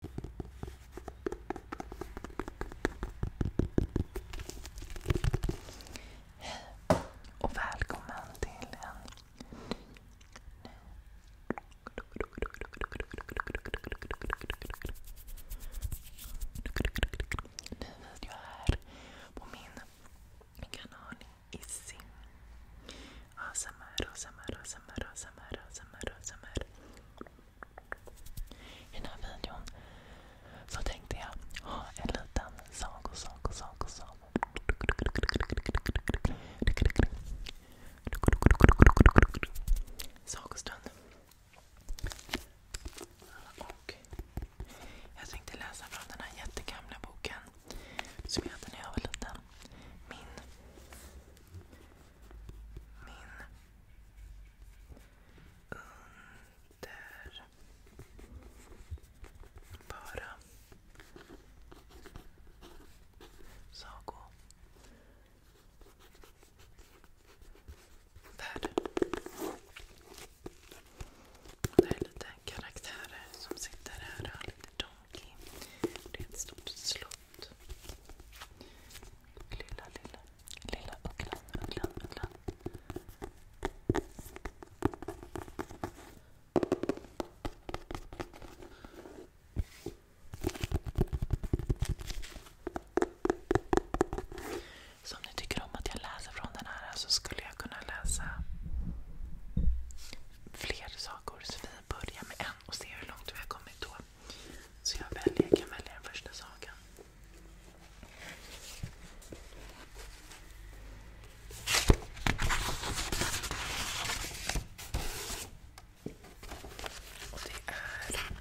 Hej och välkommen till en ny, video här på min kanal Izzy. I den här videon så tänkte jag ha en liten sago, sago, sago, sago. Sagostund. Och jag tänkte läsa från den här jättegamla boken som jag hade när jag var liten. Min min underbara sagovärld. Det är lite karaktärer som sitter här och har lite donkey. Det är ett stort slott. Lilla, lilla, lilla ugglan, Så om ni tycker om att jag läser från den här så skulle jag kunna läsa fler sagor. Så vi börjar med en och ser hur långt vi har kommit då. Så jag, väljer, jag kan välja den första saken. Och det är...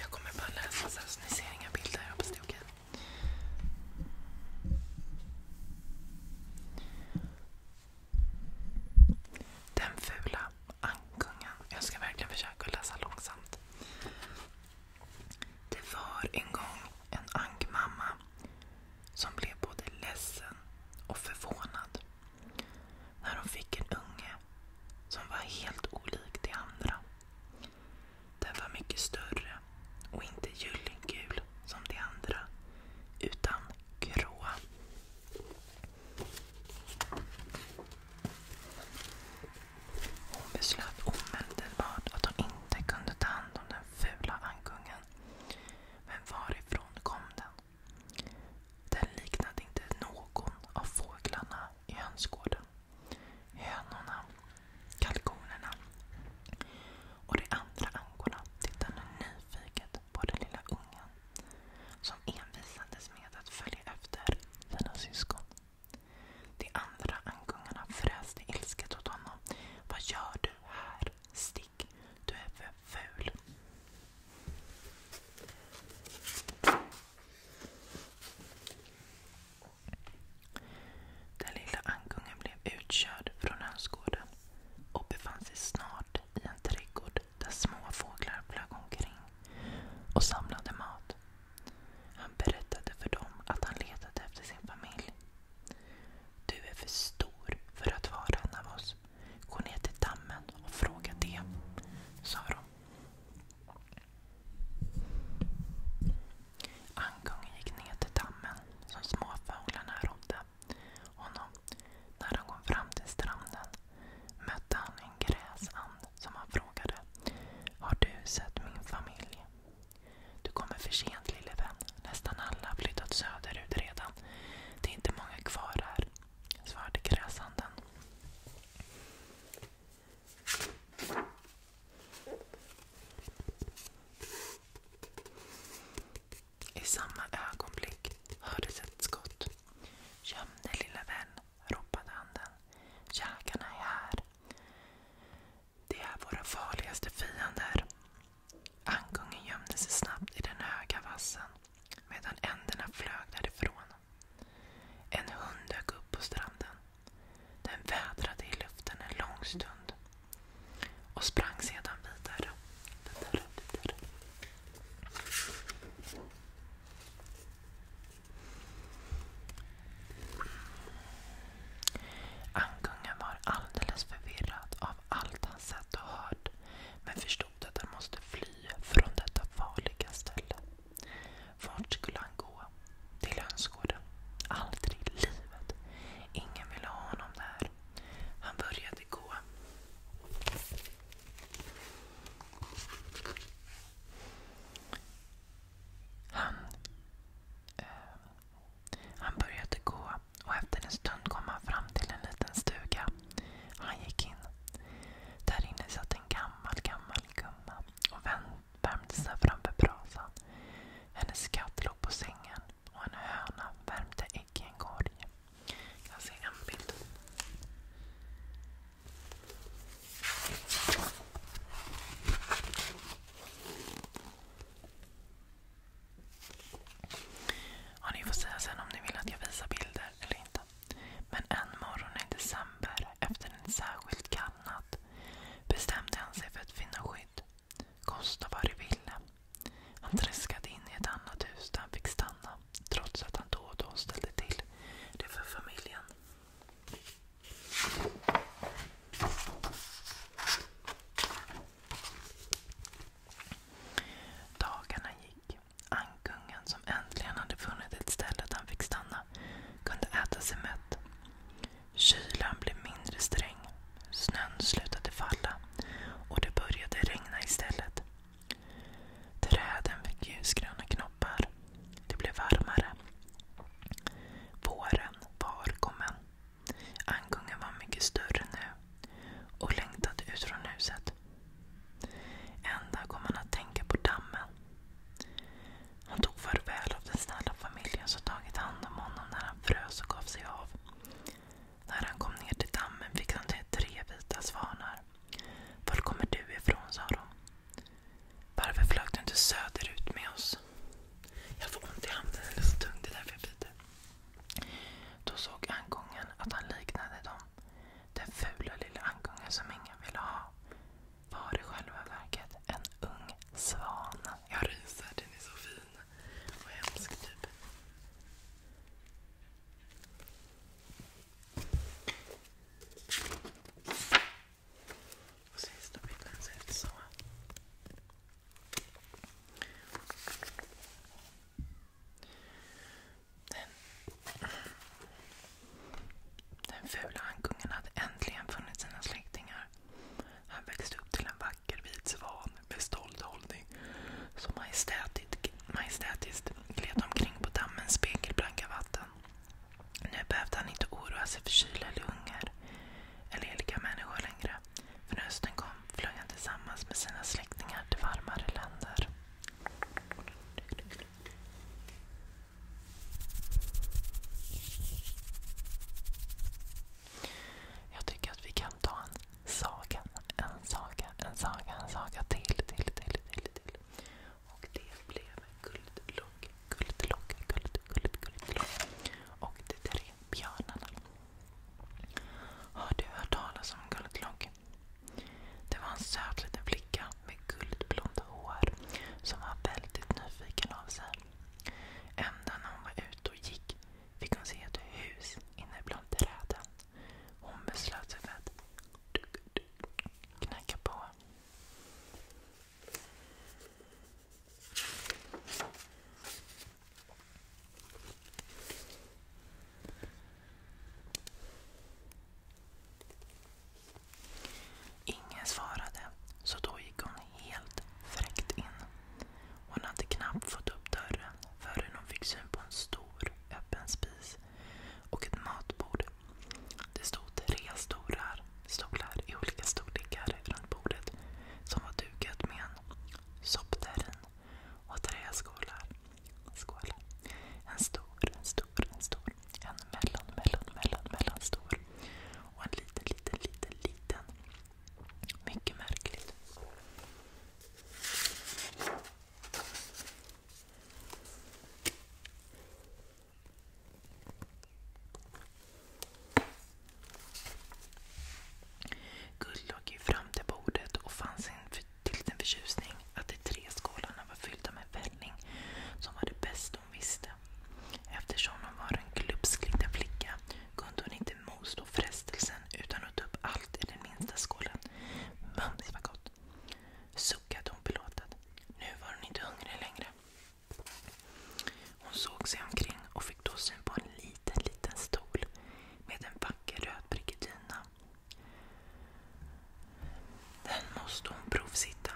Jag kommer bara läsa så att ni ser inga bilder. Jag hoppas det är okej. Den fula ankungen. Jag ska verkligen försöka läsa långsamt. Det var en gång en ankmamma som blev både ledsen och förvånad när hon fick en unge som var helt olik de andra. Den var mycket större och inte gyllengul som de andra utan grå. Hon beslöt omedelbart att hon inte kunde ta hand om den fula ankungen. Men varifrån kom den? Den liknade inte någon av fåglarna i hönsgården. Hönorna, kalkonerna och de andra ankorna tittade nyfiket på den lilla ungen som envisades med att följa efter sina syskon. De andra ankungarna fräste ilsket åt honom. Vad gör du här? Stick! Du är för ful. Den lilla ankungen blev utkörd från hönsgården och befann sig snart i en trädgård där små flög omkring och samlade mat. Han berättade för dem att han letade efter sin familj. Du är för stor för att vara en av oss. Gå ner till dammen och fråga det, sa de. Ankungen gick ner till dammen som småfåglarna rodde honom. När han kom fram till stranden mötte han en gräsand som han frågade. Har du sett min familj? Du kommer för sent lille vän. Nästan alla har flyttat söderut redan. Det är inte många kvar här, svarade gräsanden. I samma ögonblick hördes ett skott. Göm dig lilla vän, ropade anden. Jägarna är här. De är våra farligaste fiender. Ankungen gömde sig snabbt i den höga vassen medan änderna flög därifrån. En hund dök upp på stranden. Den vädrade i luften en lång stund och sprang sedan vidare. Ankungen var alldeles förvirrad av allt han sett och hört men förstod att han måste fly från detta farliga ställe. Vart skulle han gå? Till hönsgården? Aldrig i livet. Ingen ville ha honom där. Han började gå. Eh, han, började gå och efter en stund kom han fram till en liten stuga. Han gick in. Där inne satt en gammal, gammal gumma och värmde sig framför brasan. Hennes katt låg på sängen och en höna värmde ägg i korg. Jag ser en bild. ni får säga sen om ni vill att jag visar bilder eller inte. Men en morgon i december, efter en särskild kall natt, bestämde han sig för att finna skydd. Kosta vad det ville. Han träskade in i ett annat hus där han fick stanna trots att han då och då ställde till det för familjen. Dagarna gick. Ankungen som äntligen hade funnit ett ställe där han fick stanna kunde äta sig mätt. Kylan blev mindre sträng. Snön slutade falla och det började regna istället. Träden fick ljusgröna knoppar. Det blev varmare. Våren var kommen. Ankungen var mycket större nu och längtade ut från huset. En dag kom han att tänka på dammen. Han tog farväl av den snälla familjen som tagit hand om honom när han frös och gav sig av. När han kom ner till dammen fick han se tre vita svanar. Var kommer du ifrån? sa de. Varför flög du inte söderut med oss? Jag får ont i handen, den är så tung. Det är därför jag biter. Då såg angången att han liknade dem. Den fula lilla ankungen som ingen ville ha var i själva verket en ung svan. Jag ryser, den är så fin och hemsk typ sista bilden ser ut så. den fula ankungen hade äntligen funnit sina släktingar. Han växte upp till en vacker vit svan beståld hållning. Så majestätiskt, majestätiskt gled omkring på dammens spegelblanka vatten. Nu behövde han inte oroa sig för kyla eller hunger. Eller heliga människor längre. För när hösten kom flög han tillsammans med sina släktingar till varmare länder. Jag tycker att vi kan ta en sagan, en saga, en saga, en saga till, till, till, till. Och det blev Guldlogg, Guldlogg, Guld, Guld, Guldlogg. Och De tre björnarna. Har du hört talas om Guldlogg? Det var en söt liten flicka med guldblonda hår som var väldigt nyfiken av sig. Ända när hon var ute och gick fick hon se ett hus inne bland träden. Hon beslöt sig för att knacka på. Ingen svarade, så då gick hon helt fräckt in hon hade knappt fått upp dörren förrän hon fick syn på en stor öppen spis och ett matbord. Det stod tre stolar, stolar i olika storlekar runt bordet som var dukat med en soppterrin och träskålar. Skålar. En stor, en stor, en stor. En mellan, mellan, mellan, mellan stor. Och en liten, liten, liten, liten. Mycket märkligt. Guld låg ju fram till bordet och fann sin till sin förtjusning att de tre skålarna var fyllda med välling som var det bästa hon visste. Eftersom hon var en glupsk liten flicka kunde hon inte inte motstå frestelsen utan att ta upp allt i den minsta skålen. Mums vad gott! Suckade hon belåtet. Nu var hon inte hungrig längre. Hon såg sig omkring och fick då syn på en liten, liten stol med en vacker röd dyna. Den måste hon provsitta,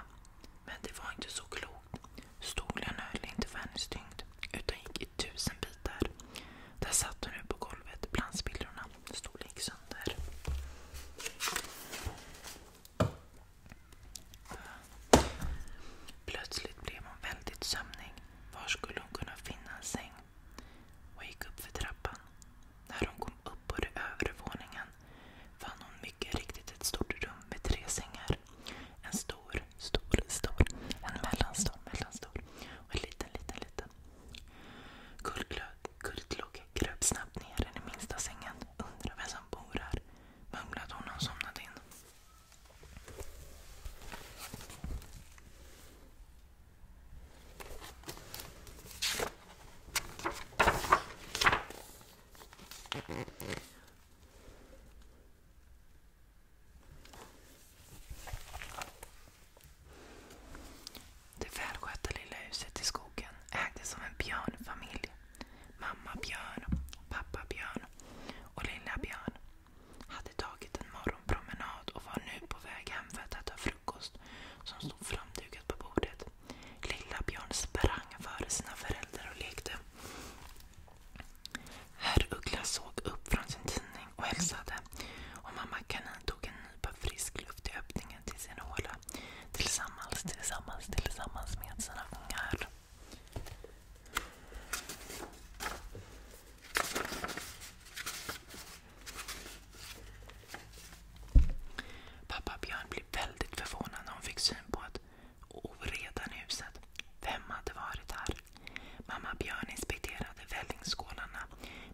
men det var inte så klokt. Stolen höll inte för hennes tyngd utan gick i tusen bitar dit där. satt hon nu på golvet bland spillrorna. Storlek liksom sönder. Plötsligt blev hon väldigt sömnig. Var skulle hon kunna finna en säng? Hon gick upp för trappan. När hon kom upp på den övre våningen fann hon mycket riktigt ett stort rum med tre sängar. En stor, stor, stor, en mellanstor, mellanstor och en liten, liten, liten. Guldlogg kröp snabbt ner i den minsta sängen. Undrar vem som bor här, mumlade hon och somnade in. Det välskötta lilla huset i skogen ägdes av en björnfamilj. Mamma Björn, pappa Björn och lilla Björn hade tagit en morgonpromenad och var nu på väg hem för att äta frukost som stod framdukat på bordet. Lilla Björn sprang före sina föräldrar och lekte. Herr Uggla såg upp från sin tidning och hälsade och mamma Kanin tog en nypa frisk luft i öppningen till sin håla tillsammans, tillsammans, tillsammans med sina ungar. Pappa Björn blev väldigt förvånad när hon fick syn på att oredan i huset. Vem hade varit här? Mamma Björn inspekterade vällingskålarna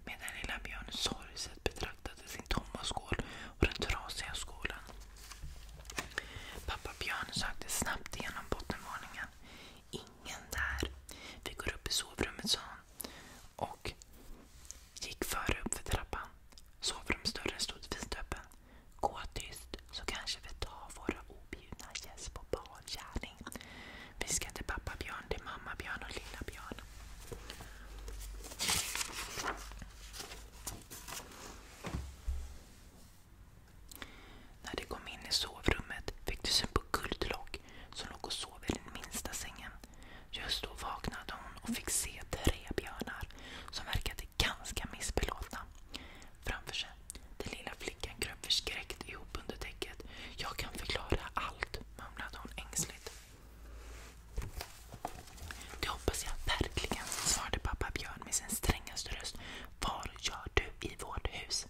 medan lilla Björn sorgset betraktade sin tomma skål och den trasiga skålen. Pappa Björn sökte snabbt igenom bottenvåningen. Ingen där. Vi går upp i sovrummet, sa han. Och gick före upp för trappan. Sovrumsdörren stod vidöppen. Gå tyst så kanske vi tar våra objudna gäster på bar gärning. Vi ska till pappa Björn, till mamma Björn och lilla Björn. När de kom in i sovrummet fick de syn på Guldlock som låg och sov i den minsta sängen. Just då vaknade hon och fick se tre björnar som verkade ganska missbelåtna framför sig. Den lilla flickan kröp förskräckt ihop under täcket. Jag kan förklara allt, mumlade hon ängsligt. Det hoppas jag verkligen, svarade pappa Björn med sin strängaste röst. Var gör du i vårt hus?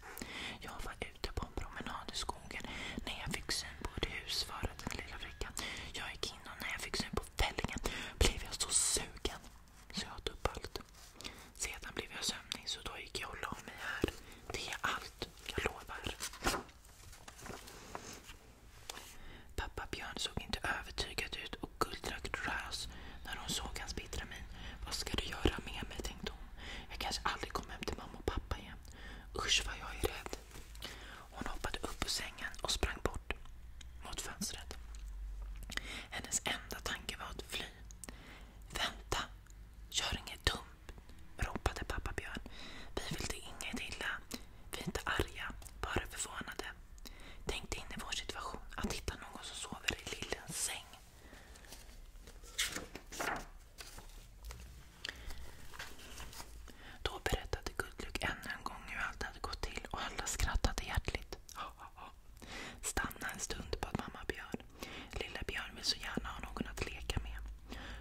Jag var ute på en promenad i skogen när jag fick syn på ett hus, svarade den lilla flickan. Jag gick in och när jag fick syn på fällingen blev jag så sugen så jag åt upp allt. Sedan blev jag sömnig så då gick jag och la mig här. Det är allt, jag lovar. Pappa Björn såg inte övertygad ut och Guld rös när hon såg hans bittra min. Vad ska du göra med mig, tänkte hon. Jag kanske aldrig kommer hem till mamma och pappa igen. Usch vad jag är rädd. Hon hoppade upp ur sängen och sprang bort mot fönstret. Hennes enda tanke var att fly. Vänta, gör inget dumt ropade pappa Björn. Vi vill dig inget illa. Vi är inte arga, bara förvånade. Tänk dig in i vår situation, att hitta någon som sover i lillens säng. Då berättade Gudlug ännu en gång hur allt hade gått till och alla skrattade hjärtligt. Stanna en stund, bad mamma Björn. Lilla Björn vill så gärna ha någon att leka med.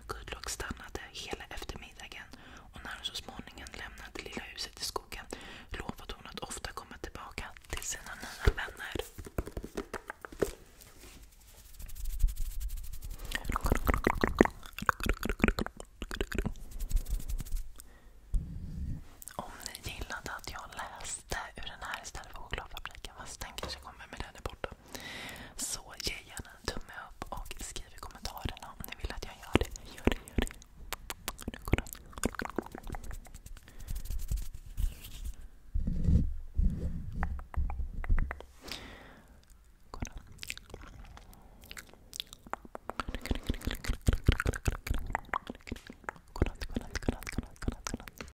Gudlock stannade hela eftermiddagen och när hon så småningom lämnade lilla huset i skogen lovade hon att ofta komma tillbaka till sina nya vänner. Om ni gillade att jag läste testa ur den här istället för chokladfabriken. Fast den kanske kommer med den är borta. Så ge gärna en tumme upp och skriv i kommentarerna om ni vill att jag gör det. Gör det, gör det. Nu går den. Godnatt, godnatt, godnatt, godnatt, godnatt, godnatt.